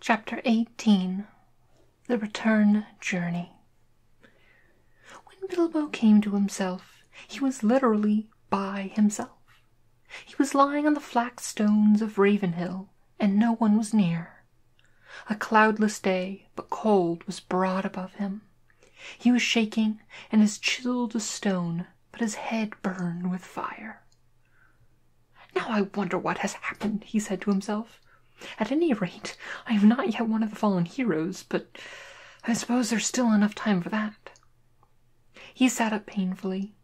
Chapter 18 The Return Journey. When Bilbo came to himself, he was literally by himself. He was lying on the flax stones of Ravenhill, and no one was near. A cloudless day, but cold, was broad above him. He was shaking and as chilled as stone, but his head burned with fire. Now I wonder what has happened, he said to himself. At any rate, I am not yet one of the fallen heroes, but I suppose there's still enough time for that. He sat up painfully.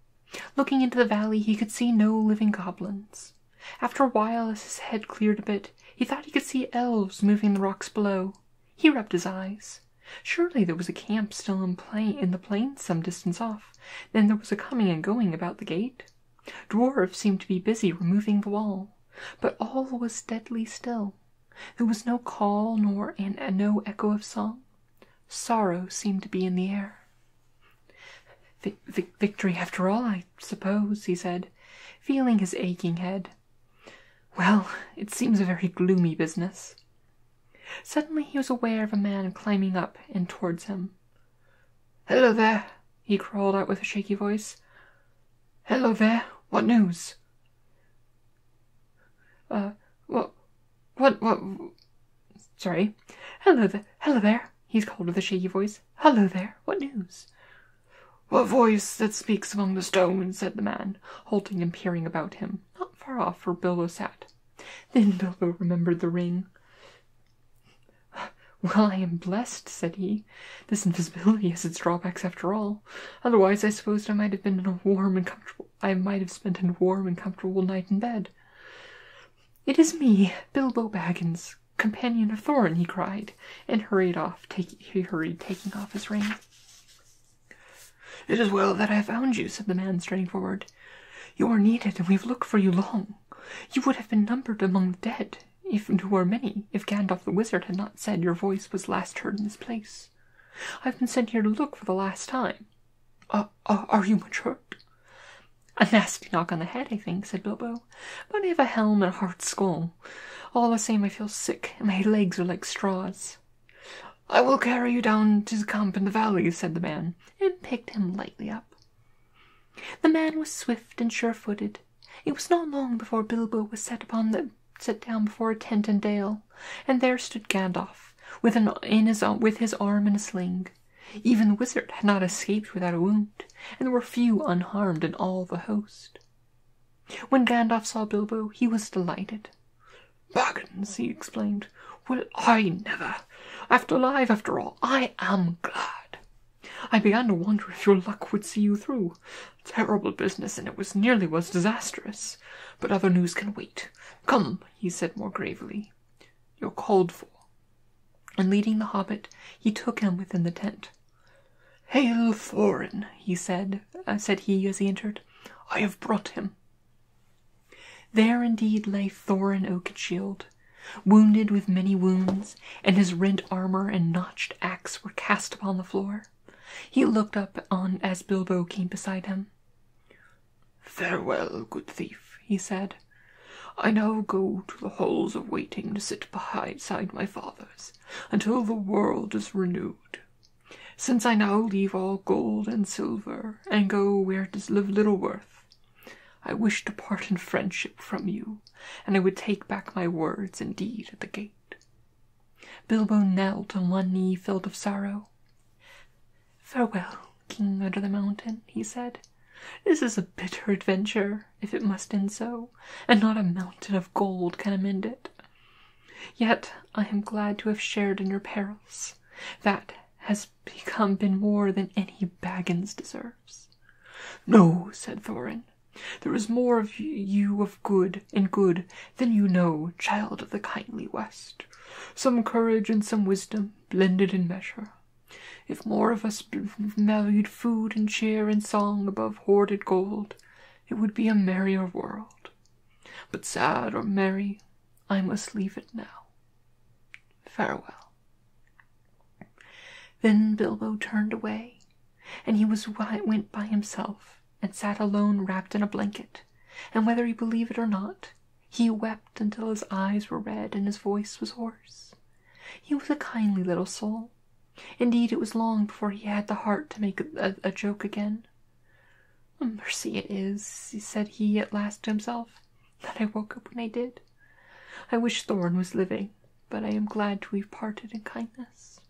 Looking into the valley, he could see no living goblins. After a while, as his head cleared a bit, he thought he could see elves moving the rocks below. He rubbed his eyes. Surely there was a camp still in, plain, in the plain, some distance off. Then there was a coming and going about the gate. Dwarfs seemed to be busy removing the wall, but all was deadly still. There was no call nor an, no echo of song. Sorrow seemed to be in the air. V victory, after all, I suppose, he said, feeling his aching head. Well, it seems a very gloomy business. Suddenly he was aware of a man climbing up and towards him. Hello there, he called out with a shaky voice. Hello there, what news? Uh, what, what, what, sorry. Hello there, hello there, he's called with a shaky voice. Hello there, what news? What voice that speaks among the stones, said the man, halting and peering about him, not far off where Bilbo sat. Then Bilbo remembered the ring. Well, I am blessed, said he. This invisibility has its drawbacks after all. Otherwise, I supposed I might have been in a warm and comfortable I might have spent a warm and comfortable night in bed. It is me, Bilbo Baggins, companion of Thorin, he cried, and hurried off, taking he hurried, taking off his ring. It is well that I have found you, said the man, straining forward. You are needed, and we have looked for you long. You would have been numbered among the dead, if there were many, if Gandalf the Wizard had not said your voice was last heard in this place. I've been sent here to look for the last time. Ah. Are you much hurt? A nasty knock on the head, I think, said Bilbo. But I have a helm and a hard skull. All the same, I feel sick, and my legs are like straws. I will carry you down to the camp in the valley, said the man, and picked him lightly up. The man was swift and sure footed. It was not long before Bilbo was set upon the set down before a tent and dale, and there stood Gandalf, with, an, in his, with his arm in a sling. Even the wizard had not escaped without a wound, and there were few unharmed in all the host. When Gandalf saw Bilbo, he was delighted. Baggins, he exclaimed, well, I never! After all, I am glad. I began to wonder if your luck would see you through. Terrible business, and it was nearly was disastrous. But other news can wait. Come, he said more gravely. You're called for. And leading the hobbit, he took him within the tent. Hail Thorin, he said, uh, said he as he entered. I have brought him. There indeed lay Thorin Oakenshield, wounded with many wounds, and his rent armor and notched axe were cast upon the floor. He looked up on as Bilbo came beside him. Farewell, good thief, he said. I now go to the halls of waiting to sit beside my fathers until the world is renewed. Since I now leave all gold and silver and go where it is of little worth, I wish to part in friendship from you, and I would take back my words indeed at the gate. Bilbo knelt on one knee, filled with sorrow. Farewell, King Under the Mountain, he said. This is a bitter adventure, if it must end so, and not a mountain of gold can amend it. Yet I am glad to have shared in your perils. That has become been more than any Baggins deserves. No, said Thorin, there is more of you of good and good than you know, child of the kindly West. Some courage and some wisdom, blended in measure. If more of us valued food and cheer and song above hoarded gold, it would be a merrier world. But sad or merry, I must leave it now. Farewell. Then Bilbo turned away, and he was went by himself, and sat alone wrapped in a blanket, and whether he believed it or not, he wept until his eyes were red and his voice was hoarse. He was a kindly little soul. Indeed, it was long before he had the heart to make a, joke again. Mercy it is, said he at last to himself, that I woke up when I did. I wish Thorn was living, but I am glad to have parted in kindness.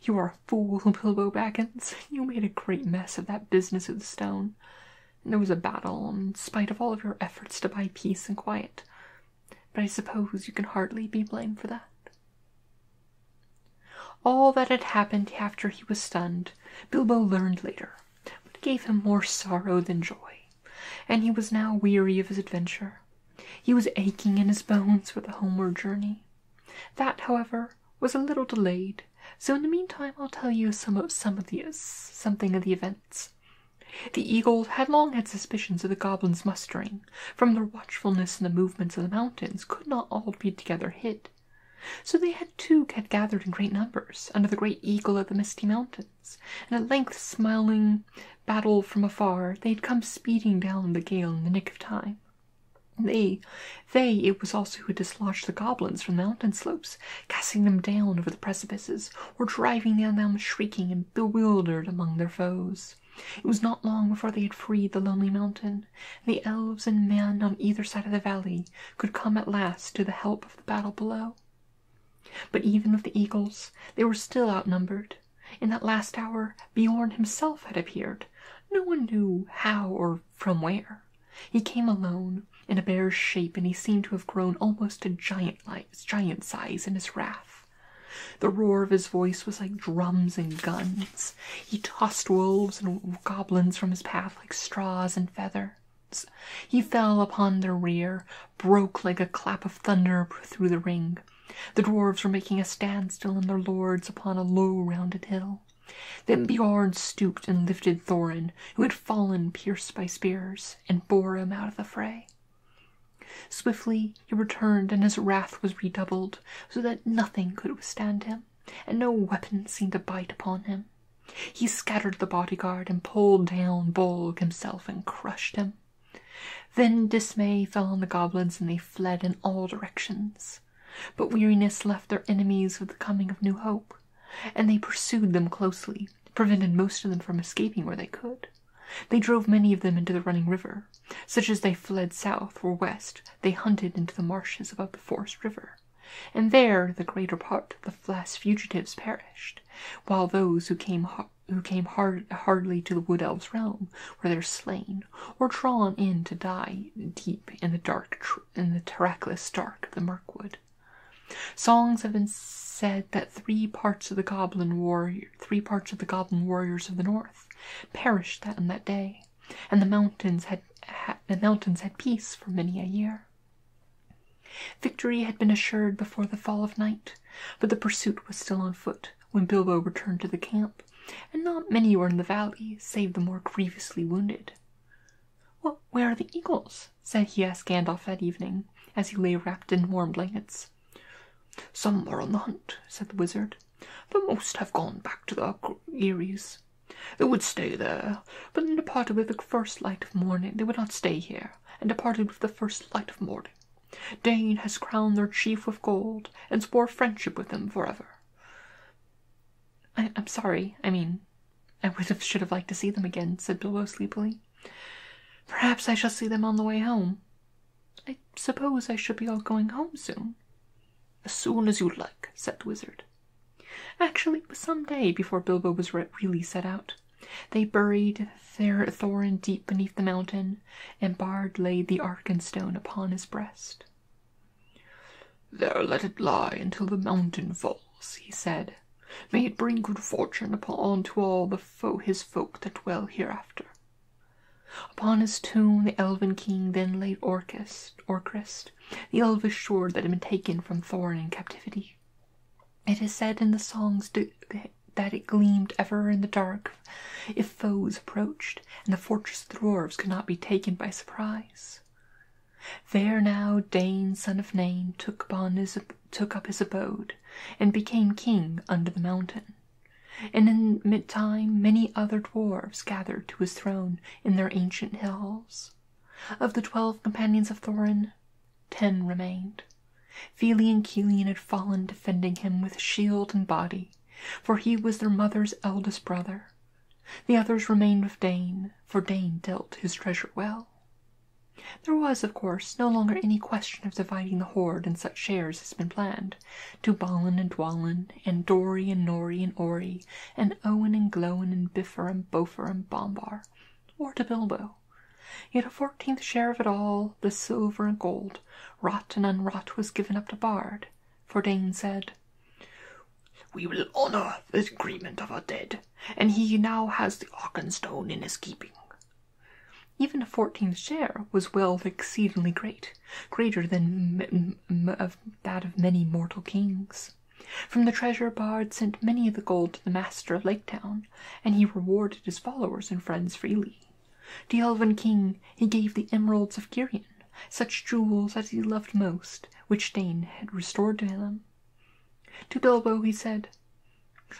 You are a fool, Bilbo Baggins. You made a great mess of that business with the stone and it was a battle, in spite of all of your efforts to buy peace and quiet. But I suppose you can hardly be blamed for that. All that had happened after he was stunned, Bilbo learned later, but gave him more sorrow than joy, and he was now weary of his adventure. He was aching in his bones for the homeward journey. That, however, was a little delayed so in the meantime, I'll tell you some of the something of the events. The eagles had long had suspicions of the goblins' mustering. From their watchfulness in the movements of the mountains, could not all be together hid. So they had too had gathered in great numbers under the great eagle of the misty mountains, and at length, smiling battle from afar, they had come speeding down the gale in the nick of time. They, they it was also who dislodged the goblins from the mountain slopes casting them down over the precipices, or driving down them shrieking and bewildered among their foes. It was not long before they had freed the lonely mountain, and the elves and men on either side of the valley could come at last to the help of the battle below. But even of the eagles, they were still outnumbered. In that last hour, Biorn himself had appeared, no one knew how or from where. He came alone, in a bear's shape, and he seemed to have grown almost to giant size in his wrath. The roar of his voice was like drums and guns. He tossed wolves and goblins from his path like straws and feathers. He fell upon their rear, broke like a clap of thunder through the ring. The dwarfs were making a standstill and their lords upon a low rounded hill. Then Biorn stooped and lifted Thorin, who had fallen pierced by spears and bore him out of the fray. Swiftly he returned, and his wrath was redoubled, so that nothing could withstand him, and no weapon seemed to bite upon him. He scattered the bodyguard and pulled down Bolg himself and crushed him. Then dismay fell on the goblins, and they fled in all directions. But weariness left their enemies with the coming of new hope, and they pursued them closely, prevented most of them from escaping where they could. They drove many of them into the running river. Such as they fled south or west, they hunted into the marshes above the Forest River, and there the greater part of the last fugitives perished, while those who came who came hard, hardly to the Wood Elves' realm were there slain or drawn in to die deep in the dark in the terracless dark of the Mirkwood. Songs have been said that three parts of the goblin warriors of the north perished that day, and the mountains had peace for many a year. Victory had been assured before the fall of night, but the pursuit was still on foot when Bilbo returned to the camp, and not many were in the valley save the more grievously wounded where are the eagles? said he asked Gandalf that evening, as he lay wrapped in warm blankets. Some are on the hunt, said the wizard, but most have gone back to the eyries. They would stay there, but then departed with the first light of morning. They would not stay here, and departed with the first light of morning. Dane has crowned their chief with gold, and swore friendship with them forever. I, I'm sorry, I mean, I should have liked to see them again, said Bilbo sleepily. Perhaps I shall see them on the way home. I suppose I should be all going home soon. As soon as you like, said the wizard. Actually, it was some day before Bilbo was really set out. They buried their Thorin deep beneath the mountain, and Bard laid the Arkenstone upon his breast. There let it lie until the mountain falls, he said, May it bring good fortune upon to all the foe his folk that dwell hereafter. Upon his tomb the elven king then laid Orcus, Orcrest, the elvish sword that had been taken from Thorin in captivity. It is said in the songs that it gleamed ever in the dark if foes approached, and the fortress of the dwarves could not be taken by surprise. There now Dane son of Nain took, up his abode, and became king under the mountain. And in mid time many other dwarfs gathered to his throne in their ancient hills. Of the twelve companions of Thorin, ten remained. Feli and Kilian had fallen defending him with shield and body, for he was their mother's eldest brother. The others remained with Dane, for Dane dealt his treasure well. There was, of course, no longer any question of dividing the hoard in such shares as had been planned. To Balin and Dwalin, and Dory and Norry and Orry, and Owen and Glowen and Biffer and Bofer and Bombar, or to Bilbo. Yet a fourteenth share of it all, the silver and gold, wrought and unwrought, was given up to Bard. For Dane said, "We will honour the agreement of our dead and he now has the Auchenstone in his keeping. Even a fourteenth share was wealth exceedingly great, greater than of that of many mortal kings. From the treasure Bard sent many of the gold to the master of Lake Town, and he rewarded his followers and friends freely. To the Elven King he gave the emeralds of Kirion, such jewels as he loved most, which Dane had restored to him, to Bilbo he said,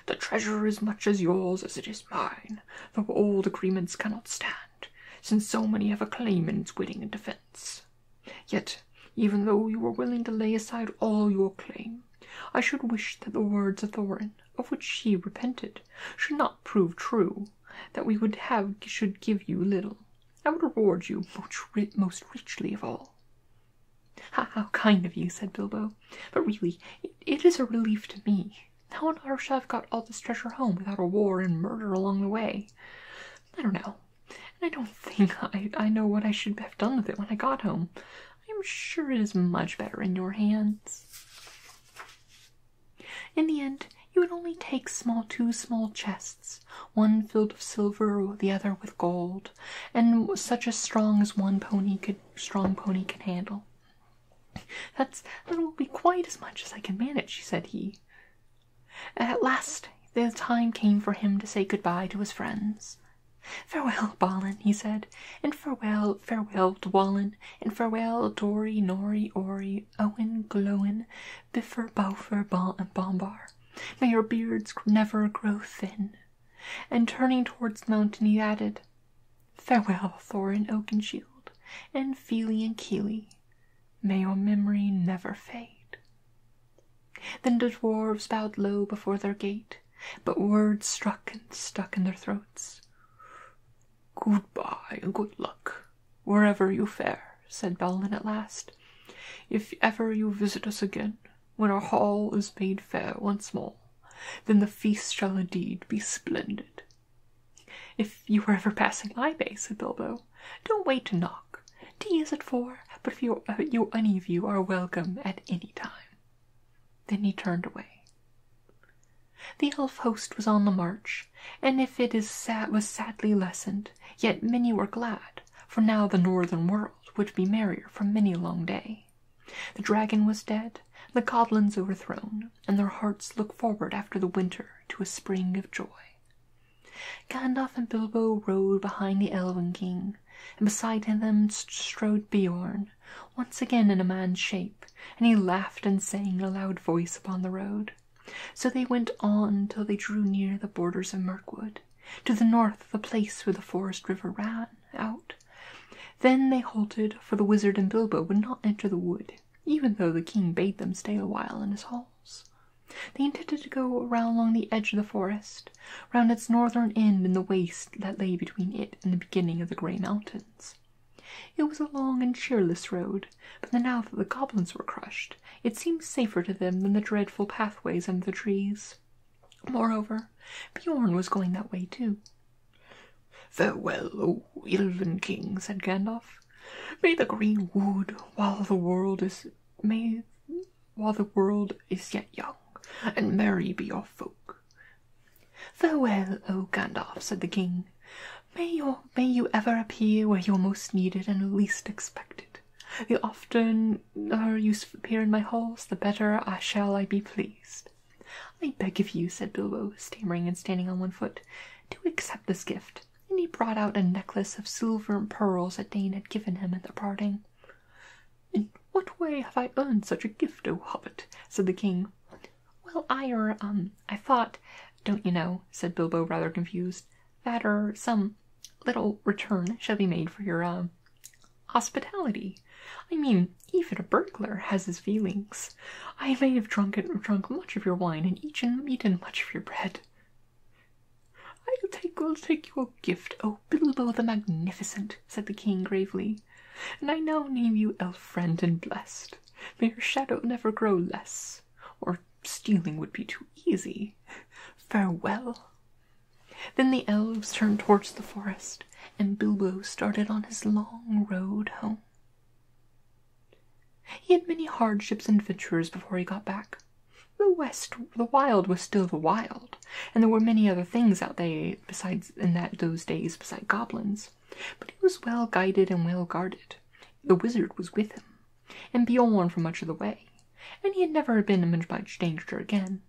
The treasure is as much yours as it is mine, though old agreements cannot stand, since so many have a claim in its waiting and defence. Yet, even though you were willing to lay aside all your claim, I should wish that the words of Thorin, of which she repented, should not prove true, that we would have should give you little. I would reward you most richly of all. How kind of you, said Bilbo. But really, it is a relief to me. How on earth shall I got all this treasure home without a war and murder along the way? I don't know. And I don't think I, I know what I should have done with it when I got home. I am sure it is much better in your hands. In the end, you would only take two small chests, one filled with silver, the other with gold and such as strong as one pony could strong pony can handle. that will be quite as much as I can manage, said he. At last the time came for him to say good bye to his friends. Farewell, Balin, he said, and farewell, farewell to and farewell Dory, Nori, Ory, Owen, Glowen, Biffer, Bowfer, Bal, and Bombar. May your beards never grow thin, and turning towards the mountain he added, Farewell, and Oak and Shield and and Keely. May your memory never fade. Then the dwarfs bowed low before their gate, but words struck and stuck in their throats. Goodbye and good luck, wherever you fare, said Balin at last. If ever you visit us again, when our hall is made fair once more, then the feast shall indeed be splendid. If you are ever passing Libay, said Bilbo, don't wait to knock. Tea is at four, but if uh, you, any of you are welcome at any time. Then he turned away. The elf host was on the march, and if it was sadly lessened, yet many were glad, for now the northern world would be merrier for many a long day. The dragon was dead, the goblins overthrown, and their hearts looked forward after the winter to a spring of joy. Gandalf and Bilbo rode behind the Elven King, and beside them strode Beorn, once again in a man's shape, and he laughed and sang in a loud voice upon the road. So they went on till they drew near the borders of Mirkwood, to the north the place where the forest river ran, out. Then they halted, for the wizard and Bilbo would not enter the wood, even though the king bade them stay a while in his halls. They intended to go round along the edge of the forest, round its northern end in the waste that lay between it and the beginning of the Grey Mountains. It was a long and cheerless road, but now that the goblins were crushed, it seemed safer to them than the dreadful pathways under the trees. Moreover, Bjorn was going that way too. Farewell, O Elven King, said Gandalf. May the green wood, while the world is may while the world is yet young, and merry be your folk. Farewell, O Gandalf, said the king. May your may you ever appear where you're most needed and least expected. You often her use appear in my halls, the better I shall I be pleased. I beg of you, said Bilbo, stammering and standing on one foot, to accept this gift. And he brought out a necklace of silver and pearls that Dane had given him at their parting. In what way have I earned such a gift, O hobbit? said the king. Well, I er um I thought, don't you know, said Bilbo rather confused, that er some little return shall be made for your um hospitality. I mean, even a burglar has his feelings. I may have drunk, it, drunk much of your wine and eaten, eaten much of your bread. I'll take, will take your gift, O oh, Bilbo the Magnificent, said the king gravely, and I now name you elf friend and blessed. May your shadow never grow less, or stealing would be too easy. Farewell. Then the elves turned towards the forest, and Bilbo started on his long road home. He had many hardships and adventures before he got back. The West, the wild was still the wild, and there were many other things out there besides in that those days beside goblins. But he was well guided and well guarded. The wizard was with him, and Bjorn for much of the way, and he had never been in much danger again,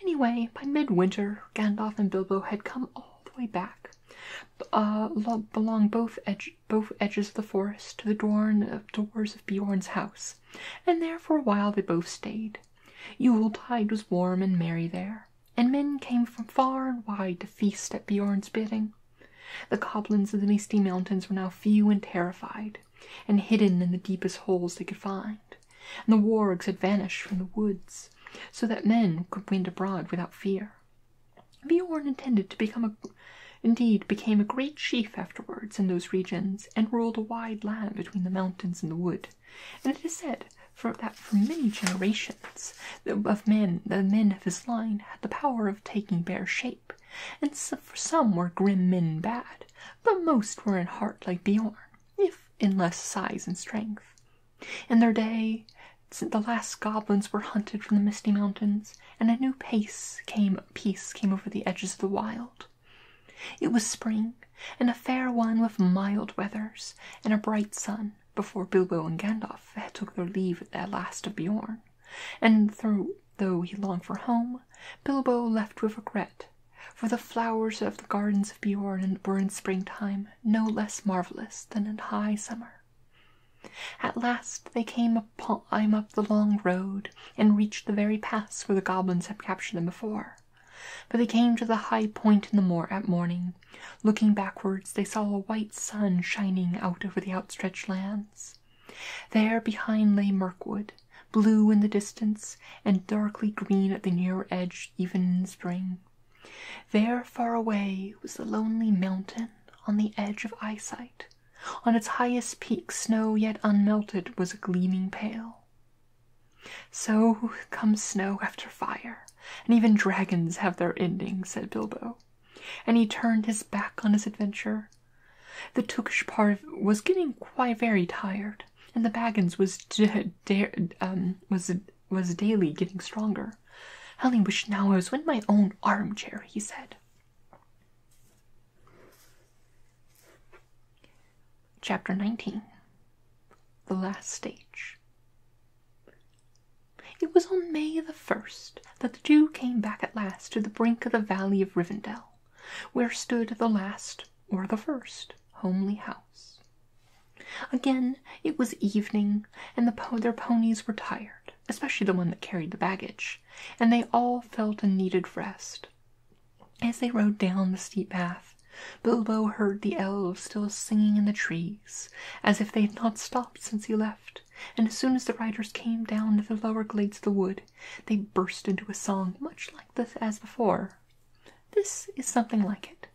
Anyway, by midwinter, Gandalf and Bilbo had come all the way back, uh, along both, edges of the forest to the Dorn, uh, doors of Bjorn's house, and there for a while they both stayed. Yule tide was warm and merry there, and men came from far and wide to feast at Bjorn's bidding. The goblins of the misty mountains were now few and terrified, and hidden in the deepest holes they could find and the wargs had vanished from the woods, so that men could wend abroad without fear. Beorn intended to become a indeed became a great chief afterwards in those regions and ruled a wide land between the mountains and the wood and it is said that for many generations of men the men of his line had the power of taking bare shape and for some were grim men bad but most were in heart like beorn if in less size and strength. In their day, since the last goblins were hunted from the misty mountains, and a new peace came, peace came over the edges of the wild. It was spring, and a fair one with mild weathers and a bright sun before Bilbo and Gandalf had took their leave at last of Bjorn, and though he longed for home, Bilbo left with regret for the flowers of the gardens of Bjorn were in springtime no less marvellous than in high summer. At last they came upon up the long road, and reached the very pass where the goblins had captured them before. But they came to the high point in the moor at morning. Looking backwards, they saw a white sun shining out over the outstretched lands. There behind lay Mirkwood, blue in the distance, and darkly green at the nearer edge, even in spring. There, far away, was the lonely mountain on the edge of eyesight. On its highest peak, snow yet unmelted was gleaming pale. So comes snow after fire, and even dragons have their ending, said Bilbo. And he turned his back on his adventure. The Tookish part was getting quite very tired and the Baggins was d- d- um, was was daily getting stronger. Helen wished now I was in my own armchair, he said. Chapter 19 The Last Stage. It was on May the 1st that the two came back at last to the brink of the valley of Rivendell, where stood the last or the first homely house. Again, it was evening, and their ponies were tired, especially the one that carried the baggage, and they all felt a needed rest. As they rode down the steep path, Bilbo heard the elves still singing in the trees, as if they had not stopped since he left, and as soon as the riders came down to the lower glades of the wood, they burst into a song much like this as before, this is something like it.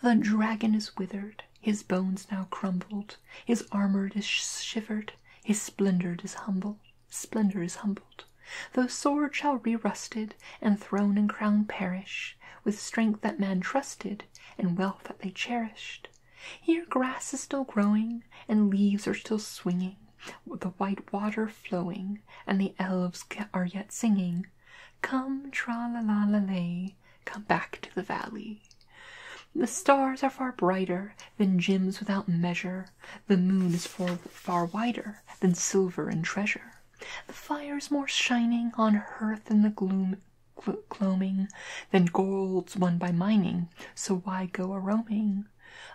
The dragon is withered, his bones now crumbled, his armor is shivered, his splendor is humbled, splendor is humbled. Though sword shall re-rusted, and throne and crown perish, with strength that man trusted, and wealth that they cherished. Here grass is still growing, and leaves are still swinging, the white water flowing, and the elves are yet singing, Come, tra la la la lay, come back to the valley. The stars are far brighter than gems without measure. The moon is far, far wider than silver and treasure. The fire's more shining on hearth in the gloom gl gloaming than gold's won by mining. So why go a roaming?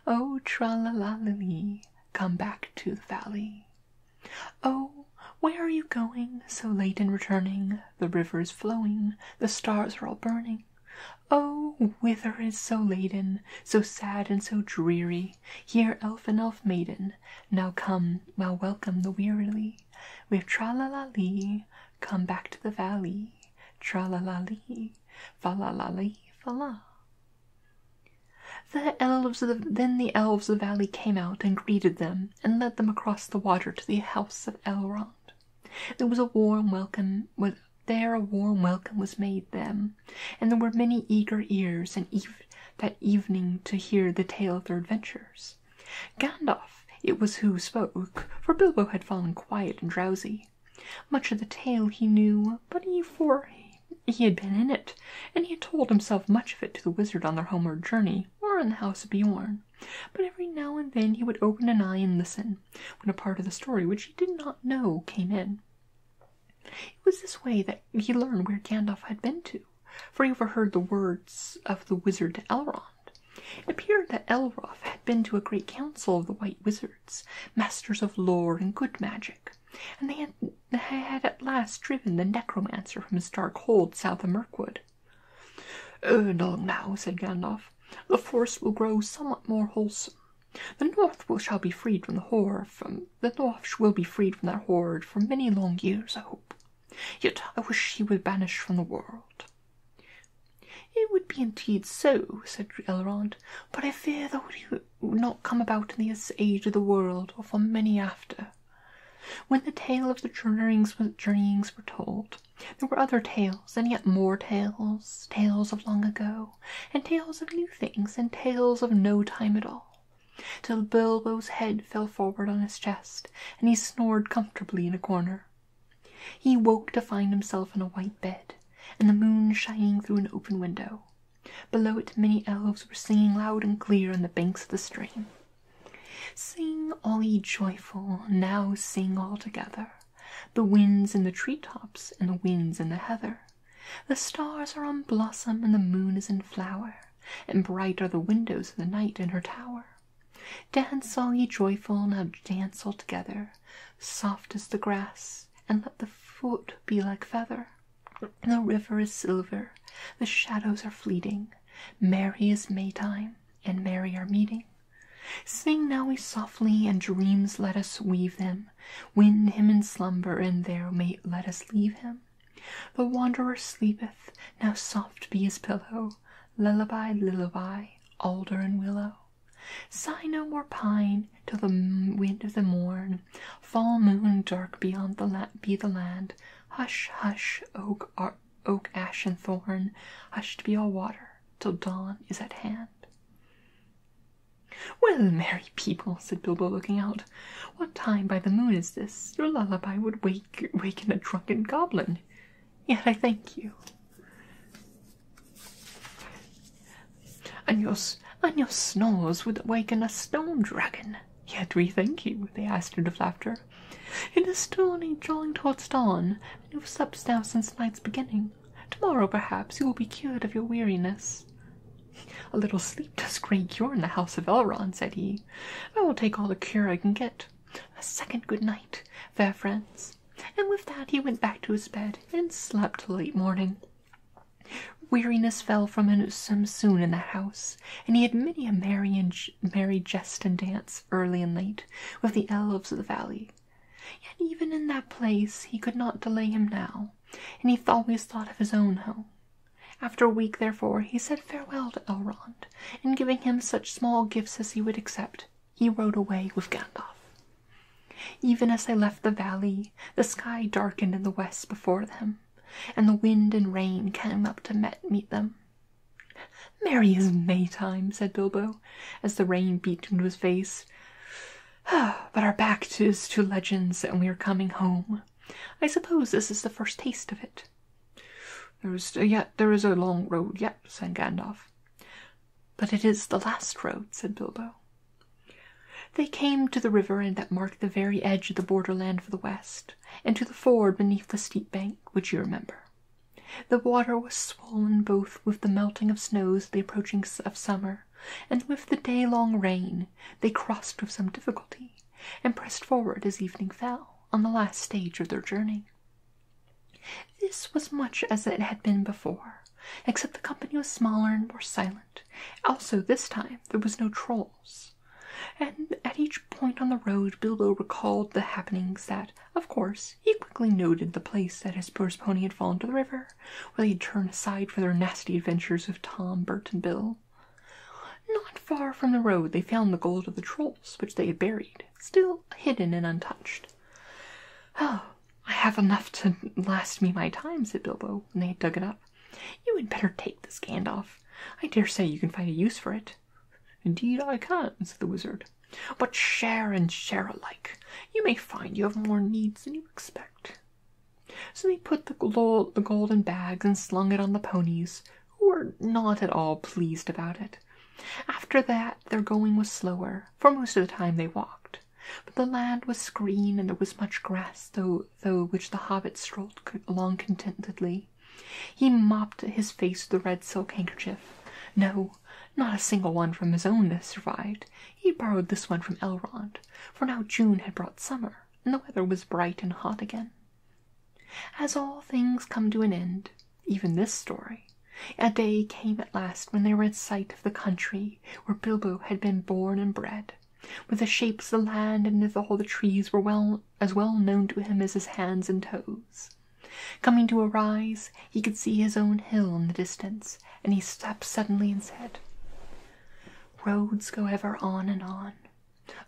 Oh, tra la la la lee, come back to the valley. Oh, where are you going so late in returning? The river's flowing, the stars are all burning. Oh, whither is so laden, so sad and so dreary? Here, elf and elf maiden, now come, now welcome the wearily. With tra la la lee, come back to the valley. Tra la la lee, fa la la lee, fa la then the elves of the valley came out and greeted them and led them across the water to the house of Elrond. There was a warm welcome. Was, there a warm welcome was made them, and there were many eager ears that evening to hear the tale of their adventures. Gandalf it was who spoke, for Bilbo had fallen quiet and drowsy. Much of the tale he knew, but he for he had been in it, and he had told himself much of it to the wizard on their homeward journey, or in the house of Bjorn. But every now and then he would open an eye and listen, when a part of the story which he did not know came in. It was this way that he learned where Gandalf had been to, for he overheard the words of the wizard to Elrond. It appeared that Elroth had been to a great council of the White Wizards, masters of lore and good magic, and they had that I had at last driven the necromancer from his dark hold south of Mirkwood. Ere oh, now, said Gandalf, the forest will grow somewhat more wholesome. The north will shall be freed from the horror from the north will be freed from that horror for many long years, I hope. Yet I wish he would vanish from the world. It would be indeed so, said Elrond, but I fear that would not come about in this age of the world, or for many after. When the tale of the journeyings, were told, there were other tales, and yet more tales, tales of long ago, and tales of new things, and tales of no time at all, till Bilbo's head fell forward on his chest, and he snored comfortably in a corner. He woke to find himself in a white bed, and the moon shining through an open window. Below it, many elves were singing loud and clear on the banks of the stream. Sing all ye joyful, now sing all together. The winds in the tree tops and the winds in the heather. The stars are on blossom and the moon is in flower, and bright are the windows of the night in her tower. Dance all ye joyful, now dance all together, soft as the grass, and let the foot be like feather. The river is silver, the shadows are fleeting. Merry is Maytime, and merry our meeting. Sing now we softly, and dreams let us weave them. Wind him in slumber, and there may let us leave him. The wanderer sleepeth, now soft be his pillow. Lullaby, lullaby, alder and willow. Sigh no more pine, till the wind of the morn fall moon, dark beyond the la be the land. Hush, hush, oak, oak, ash, and thorn, hushed be all water till dawn is at hand. Well, merry people, said Bilbo, looking out, what time by the moon is this? Your lullaby would wake waken a drunken goblin. Yet I thank you. And your, and your snores would awaken a stone dragon. Yet we thank you, they asked out of laughter. It is still only drawing towards dawn, and you have slept now since night's beginning. Tomorrow, perhaps, you will be cured of your weariness. A little sleep does great cure in the house of Elrond, said he. I will take all the cure I can get. A second good night, fair friends. And with that he went back to his bed and slept till late morning. Weariness fell from him some soon in the house, and he had many a merry, and merry jest and dance, early and late, with the elves of the valley. Yet even in that place he could not delay him now, and he always thought of his own home. After a week, therefore, he said farewell to Elrond, and giving him such small gifts as he would accept, he rode away with Gandalf. Even as they left the valley, the sky darkened in the west before them, and the wind and rain came up to met meet them. Merry as time, said Bilbo, as the rain beat into his face. but our back is to legends, and we are coming home. I suppose this is the first taste of it. There is uh, yet there is a long road yet, yeah, said Gandalf. But it is the last road, said Bilbo. They came to the river and that marked the very edge of the borderland for the west and to the ford beneath the steep bank which you remember. The water was swollen both with the melting of snows, the approaching of summer, and with the day-long rain. They crossed with some difficulty, and pressed forward as evening fell on the last stage of their journey. This was much as it had been before, except the company was smaller and more silent. Also, this time there was no trolls and at each point on the road Bilbo recalled the happenings that, of course, he quickly noted the place that his poor pony had fallen to the river, where they had turned aside for their nasty adventures with Tom, Bert, and Bill. Not far from the road they found the gold of the trolls, which they had buried, still hidden and untouched. Oh, I have enough to last me my time, said Bilbo, when they had dug it up. You had better take this, Gandalf. I dare say you can find a use for it. Indeed, I can, said the wizard. But share and share alike. You may find you have more needs than you expect. So they put the gold, the gold in bags and slung it on the ponies, who were not at all pleased about it. After that, their going was slower, for most of the time they walked. But the land was green, and there was much grass, though, though which the hobbits strolled along contentedly. He mopped his face with a red silk handkerchief. No, not a single one from his own that survived. He borrowed this one from Elrond, for now June had brought summer, and the weather was bright and hot again. As all things come to an end, even this story, a day came at last when they were in sight of the country where Bilbo had been born and bred. With the shapes of the land and of all the trees were well as well known to him as his hands and toes. Coming to a rise, he could see his own hill in the distance, and he stopped suddenly and said, Roads go ever on and on,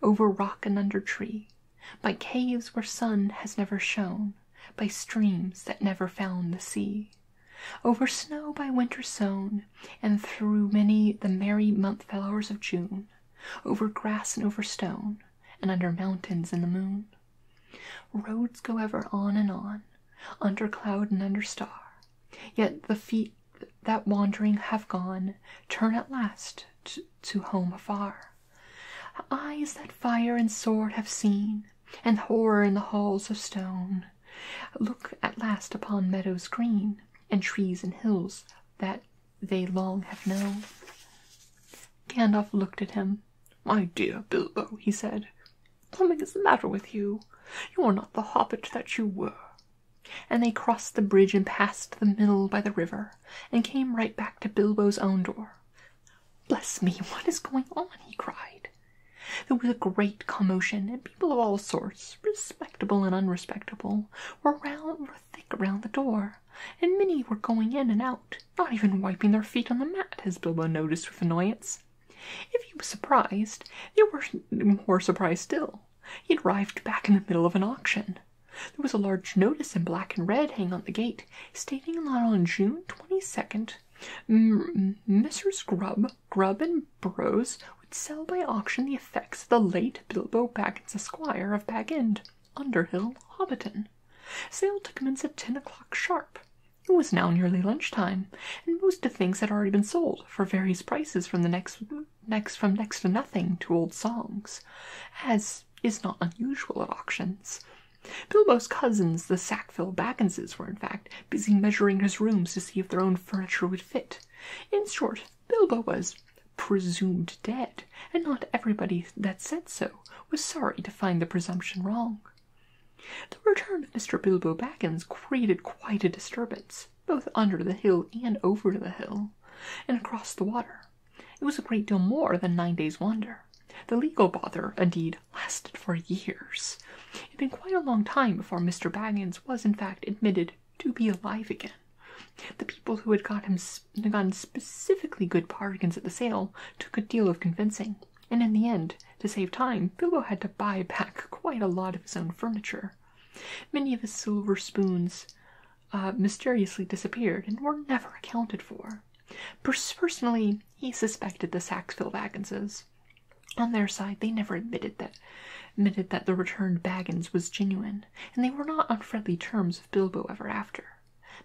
over rock and under tree, by caves where sun has never shone, by streams that never found the sea, over snow by winter sown, and through many the merry month hours of June, over grass and over stone, and under mountains in the moon. Roads go ever on and on, under cloud and under star, yet the feet that wandering have gone turn at last to, to home afar. Eyes that fire and sword have seen, and horror in the halls of stone, look at last upon meadows green, and trees and hills that they long have known. Gandalf looked at him. My dear Bilbo, he said, something is the matter with you. You are not the hobbit that you were. And they crossed the bridge and passed the mill by the river, and came right back to Bilbo's own door. Bless me, what is going on? he cried. There was a great commotion, and people of all sorts, respectable and unrespectable, were round, thick around the door, and many were going in and out, not even wiping their feet on the mat, as Bilbo noticed with annoyance. If he was surprised, they were more surprised still. He had arrived back in the middle of an auction. There was a large notice in black and red hanging on the gate, stating that on June 22nd, M- Messrs. Grubb, Grubb and Burrows would sell by auction the the late Bilbo Baggins, Esquire of Bag End, Underhill, Hobbiton. Sale to commence at ten o'clock sharp. It was now nearly lunchtime, and most of the things had already been sold for various prices from the next next from next to nothing to old songs, as is not unusual at auctions. Bilbo's cousins, the Sackville Bagginses, were in fact busy measuring his rooms to see if their own furniture would fit. In short, Bilbo was presumed dead, and not everybody that said so was sorry to find the presumption wrong. The return of Mr. Bilbo Baggins created quite a disturbance, both under the hill and over the hill, and across the water. It was a great deal more than nine days' wander. The legal bother, indeed, lasted for years. It had been quite a long time before Mr. Baggins was in fact admitted to be alive again. The people who had gotten specifically good bargains at the sale took a deal of convincing, and in the end, to save time, Philo had to buy back quite a lot of his own furniture. Many of his silver spoons uh, mysteriously disappeared and were never accounted for. Personally, he suspected the Saxville Bagginses. On their side, they never admitted that admitted that the returned Baggins was genuine and they were not on friendly terms with Bilbo ever after.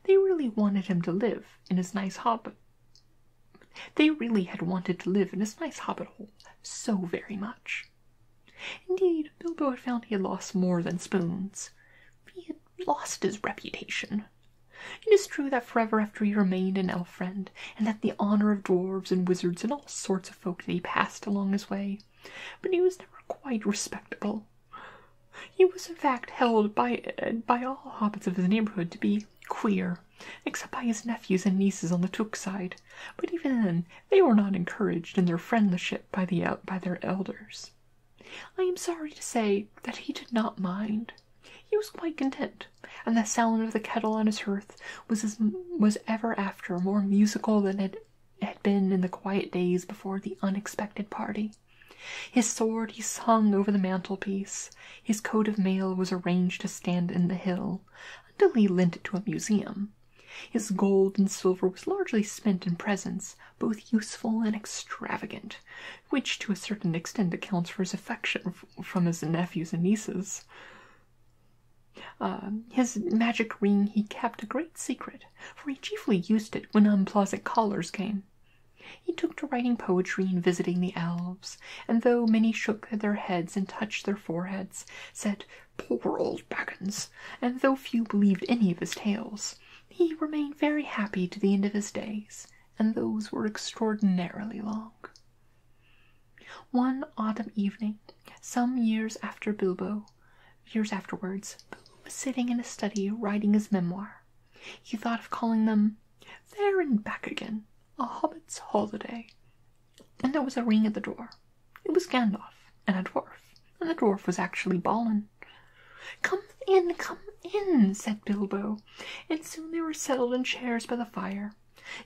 They really wanted him to live in his nice hobbit. They really had wanted to live in his nice hobbit hole so very much. Indeed, Bilbo had found he had lost more than spoons. He had lost his reputation. It is true that forever after he remained an elf friend, and that the honor of dwarves and wizards and all sorts of folk that he passed along his way but he was never quite respectable. He was in fact held by by all hobbits of his neighborhood to be queer, except by his nephews and nieces on the Took side, but even then they were not encouraged in their friendship by the by their elders. I am sorry to say that he did not mind. He was quite content, and the sound of the kettle on his hearth was was ever after more musical than it it had been in the quiet days before the unexpected party. His sword he hung over the mantelpiece. His coat of mail was arranged to stand in the hall, until he lent it to a museum. His gold and silver was largely spent in presents, both useful and extravagant, which to a certain extent accounts for his affection from his nephews and nieces. Uh, his magic ring he kept a great secret for he chiefly used it when unpleasant callers came. He took to writing poetry and visiting the elves, and though many shook their heads and touched their foreheads, said, Poor old Baggins, and though few believed any of his tales, he remained very happy to the end of his days, and those were extraordinarily long. One autumn evening, some years after Bilbo, Years afterwards, Bilbo was sitting in his study writing his memoir. He thought of calling them There and Back Again, A Hobbit's Holiday, and there was a ring at the door. It was Gandalf and a dwarf, and the dwarf was actually Balin. Come in, come in, said Bilbo, and soon they were settled in chairs by the fire.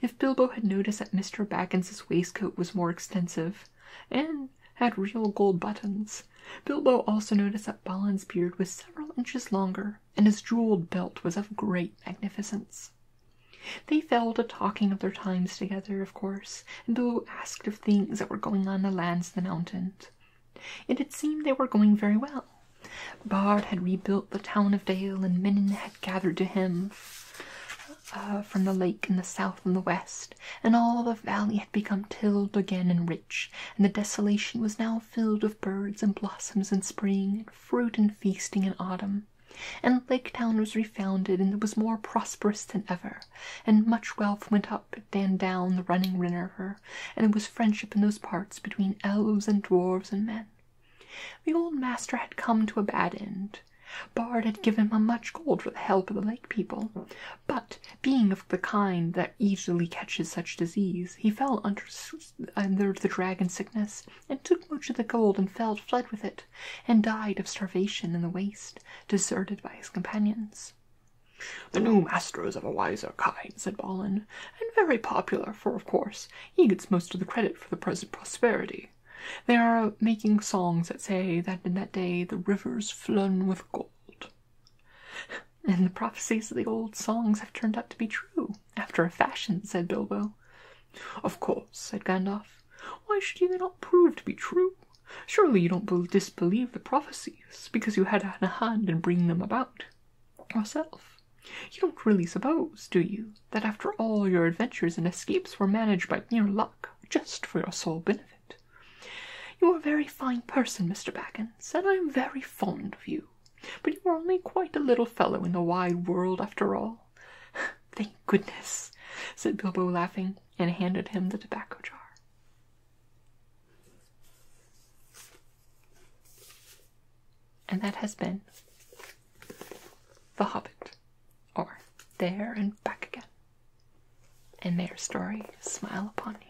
If Bilbo had noticed that Mr. Baggins's waistcoat was more extensive, and had real gold buttons. Bilbo also noticed that Balin's beard was several inches longer, and his jeweled belt was of great magnificence. They fell to talking of their times together, of course, and Bilbo asked of things that were going on in the lands of the mountains. It had seemed they were going very well. Bard had rebuilt the town of Dale, and men had gathered to him uh, from the lake in the south and the west and all the valley had become tilled again and rich, and the desolation was now filled with birds and blossoms and spring, and fruit and feasting in autumn. And Lake Town was refounded, and was more prosperous than ever, and much wealth went up and down the running river, and there was friendship in those parts between elves and dwarfs and men. The old master had come to a bad end. Bard had given him much gold for the help of the lake people, but being of the kind that easily catches such disease, he fell under, the dragon sickness, and took much of the gold and fell, fled with it, and died of starvation in the waste, deserted by his companions. The new master is of a wiser kind, said Balin, and very popular, for of course he gets most of the credit for the present prosperity. They are making songs that say that in that day the rivers flowed with gold and the prophecies of the old songs have turned out to be true, after a fashion, said Bilbo. Of course, said Gandalf. Why should they not prove to be true? Surely you don't disbelieve the prophecies because you had a hand in bringing them about yourself. You don't really suppose, do you, that after all your adventures and escapes were managed by mere luck just for your sole benefit? You are a very fine person, Mr. Baggins, and I am very fond of you. But you are only quite a little fellow in the wide world after all. Thank goodness, said Bilbo, laughing, and handed him the tobacco jar. And that has been The Hobbit, or There and Back Again and their story smile upon you.